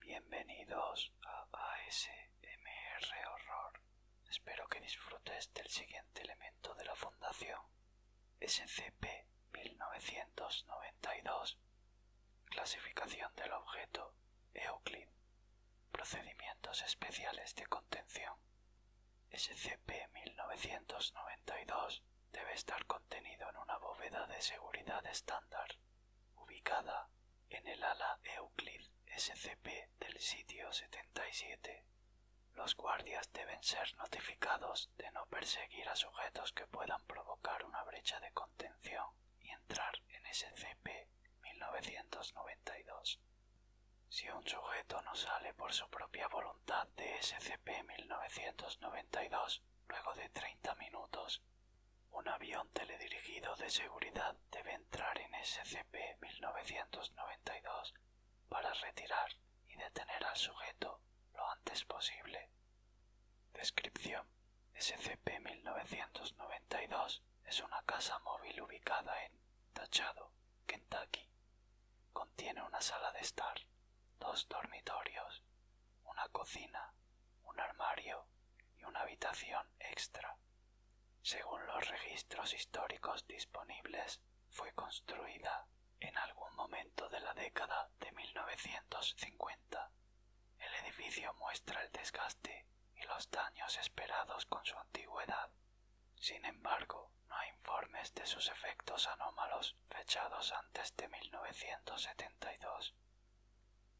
Bienvenidos a ASMR Horror. Espero que disfrutes del siguiente elemento de la Fundación, SCP-1992, clasificación del objeto Euclid, Procedimientos Especiales de Contención. SCP-1992 debe estar contenido en una bóveda de seguridad estándar, ubicada en el ala Euclid SCP del sitio 77. Los guardias deben ser notificados de no perseguir a sujetos que puedan provocar una brecha de contención y entrar en SCP-1992. Si un sujeto no sale por su propia voluntad de SCP-1992 luego de 30 minutos, un avión teledirigido de seguridad debe entrar en SCP-1992 para retirar y detener al sujeto lo antes posible. Descripción. SCP-1992 es una casa móvil ubicada en Tachado, Kentucky. Contiene una sala de estar, dos dormitorios, una cocina, un armario y una habitación extra. Según los registros históricos disponibles, fue construida en algún momento de la década de 1950. El edificio muestra el desgaste y los daños esperados con su antigüedad. Sin embargo, no hay informes de sus efectos anómalos fechados antes de 1972.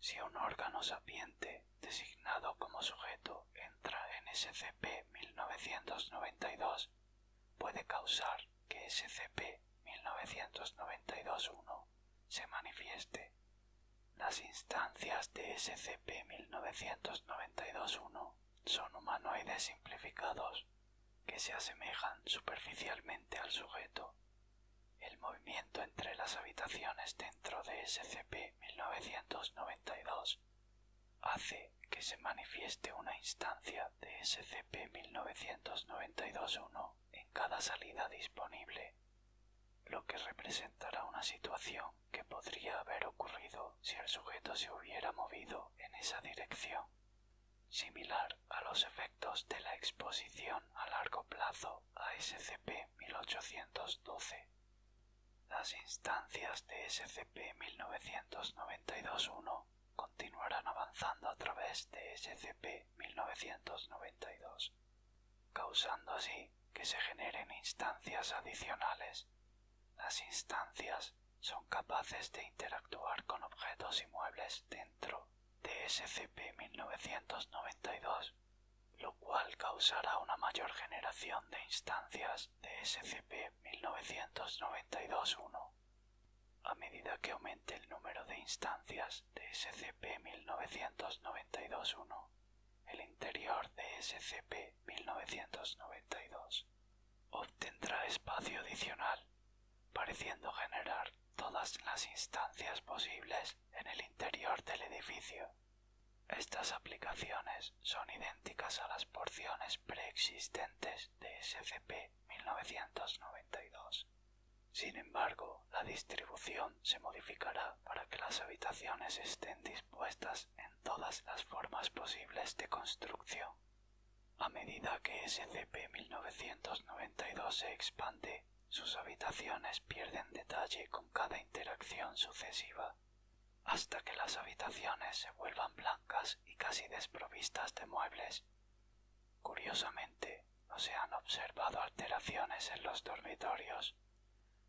Si un órgano sapiente designado como sujeto entra en SCP-1992, puede causar que SCP-1992-1 se manifieste las instancias de SCP-1992-1 son humanoides simplificados que se asemejan superficialmente al sujeto. El movimiento entre las habitaciones dentro de SCP-1992 hace que se manifieste una instancia de SCP-1992-1 en cada salida disponible lo que representará una situación que podría haber ocurrido si el sujeto se hubiera movido en esa dirección, similar a los efectos de la exposición a largo plazo a SCP-1812. Las instancias de SCP-1992-1 continuarán avanzando a través de SCP-1992 causando así que se generen instancias adicionales. Las instancias son capaces de interactuar con objetos y muebles dentro de SCP-1992, lo cual causará una mayor generación de instancias de SCP-1992-1. A medida que aumente el número de instancias, SCP-1992-1, el interior de SCP-1992 obtendrá espacio adicional, pareciendo generar todas las instancias posibles en el interior del edificio. Estas aplicaciones son idénticas a las porciones preexistentes de SCP-1992. Sin embargo, la distribución se modificará para que las habitaciones estén dispuestas en todas las formas posibles de construcción. A medida que SCP-1992 se expande, sus habitaciones pierden detalle con cada interacción sucesiva, hasta que las habitaciones se vuelvan blancas y casi desprovistas de muebles Curiosamente, no se han observado alteraciones en los dormitorios.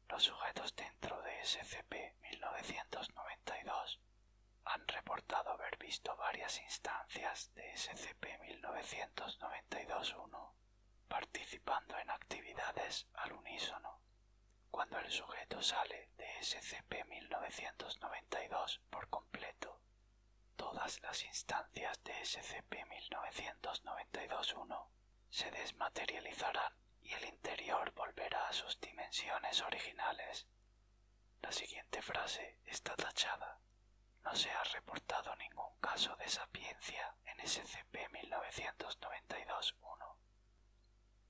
Los sujetos dentro de SCP-1992 han reportado haber visto varias instancias de SCP-1992-1 participando en actividades al unísono. Cuando el sujeto sale de SCP-1992 por completo, Todas las instancias de SCP-1992-1 se desmaterializarán y el interior volverá a sus dimensiones originales. La siguiente frase está tachada. No se ha reportado ningún caso de sapiencia en SCP-1992-1.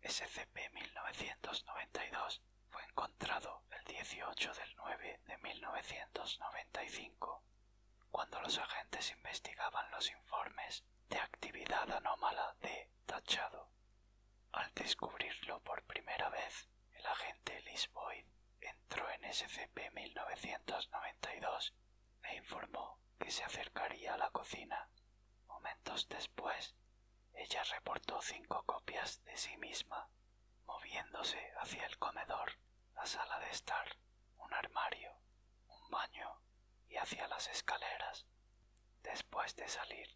SCP-1992 fue encontrado el 18 del 9 de 1995, cuando los agentes investigaban los informes de actividad anómala de Tachado. Al descubrirlo por primera vez, el agente Liz entró en SCP-1992 e informó que se acercaría a la cocina. Momentos después, ella reportó cinco copias de sí misma, moviéndose hacia el comedor, la sala de estar, un armario, un baño y hacia las escaleras. Después de salir,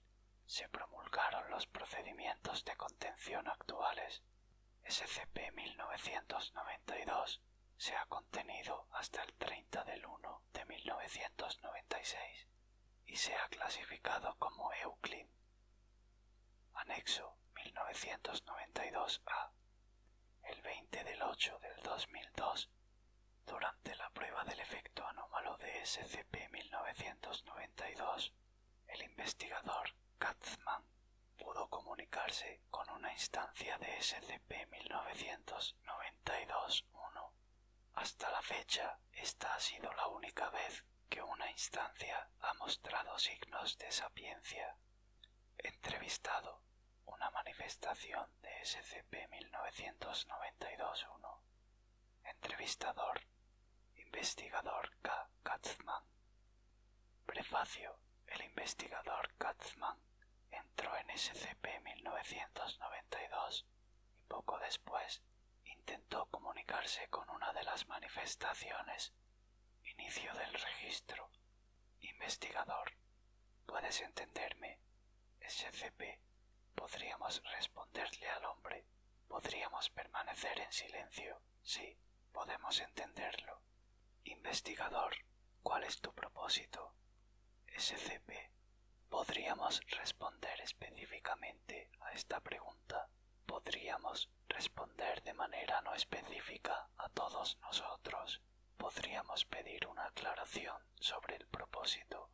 se promulgaron los procedimientos de contención actuales. SCP-1992 se ha contenido hasta el 30 del 1 de 1996 y se ha clasificado como Euclid. Anexo 1992A. El 20 del 8 del 2002, durante la prueba del efecto anómalo de SCP-1992, el investigador Katzman pudo comunicarse con una instancia de SCP-1992-1 hasta la fecha, esta ha sido la única vez que una instancia ha mostrado signos de sapiencia. Entrevistado, una manifestación de SCP-1992-1. Entrevistador, investigador K. Katzman. Prefacio, el investigador Katzman entró en SCP-1992 y poco después intentó comunicarse con una de las manifestaciones. Inicio del registro. Investigador. ¿Puedes entenderme? SCP. Podríamos responderle al hombre. Podríamos permanecer en silencio. Sí, podemos entenderlo. Investigador. ¿Cuál es tu propósito? Podríamos responder específicamente a esta pregunta. Podríamos responder de manera no específica a todos nosotros. Podríamos pedir una aclaración sobre el propósito.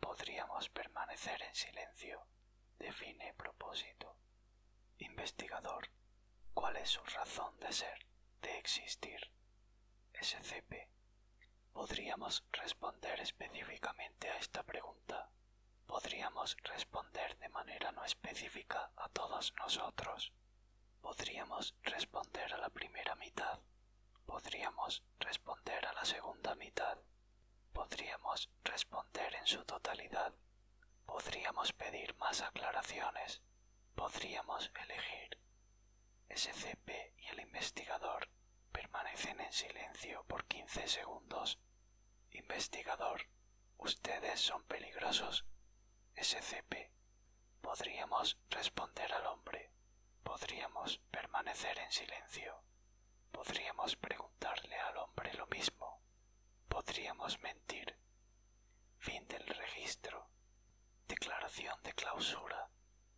Podríamos permanecer en silencio. Define propósito. Investigador, ¿cuál es su razón de ser, de existir? SCP Podríamos responder específicamente a esta pregunta. Podríamos responder de manera no específica a todos nosotros. Podríamos responder a la primera mitad. Podríamos responder a la segunda mitad. Podríamos responder en su totalidad. Podríamos pedir más aclaraciones. Podríamos elegir. SCP y el investigador permanecen en silencio por quince segundos. Investigador, ustedes son peligrosos. SCP. Podríamos responder al hombre. Podríamos permanecer en silencio. Podríamos preguntarle al hombre lo mismo. Podríamos mentir. Fin del registro. Declaración de clausura.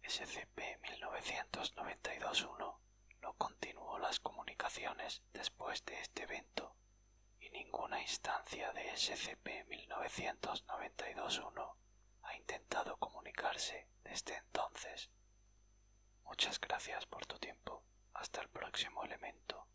SCP-1992-1 no continuó las comunicaciones después de este evento y ninguna instancia de SCP-1992-1 ha intentado comunicarse desde entonces. Muchas gracias por tu tiempo. Hasta el próximo elemento.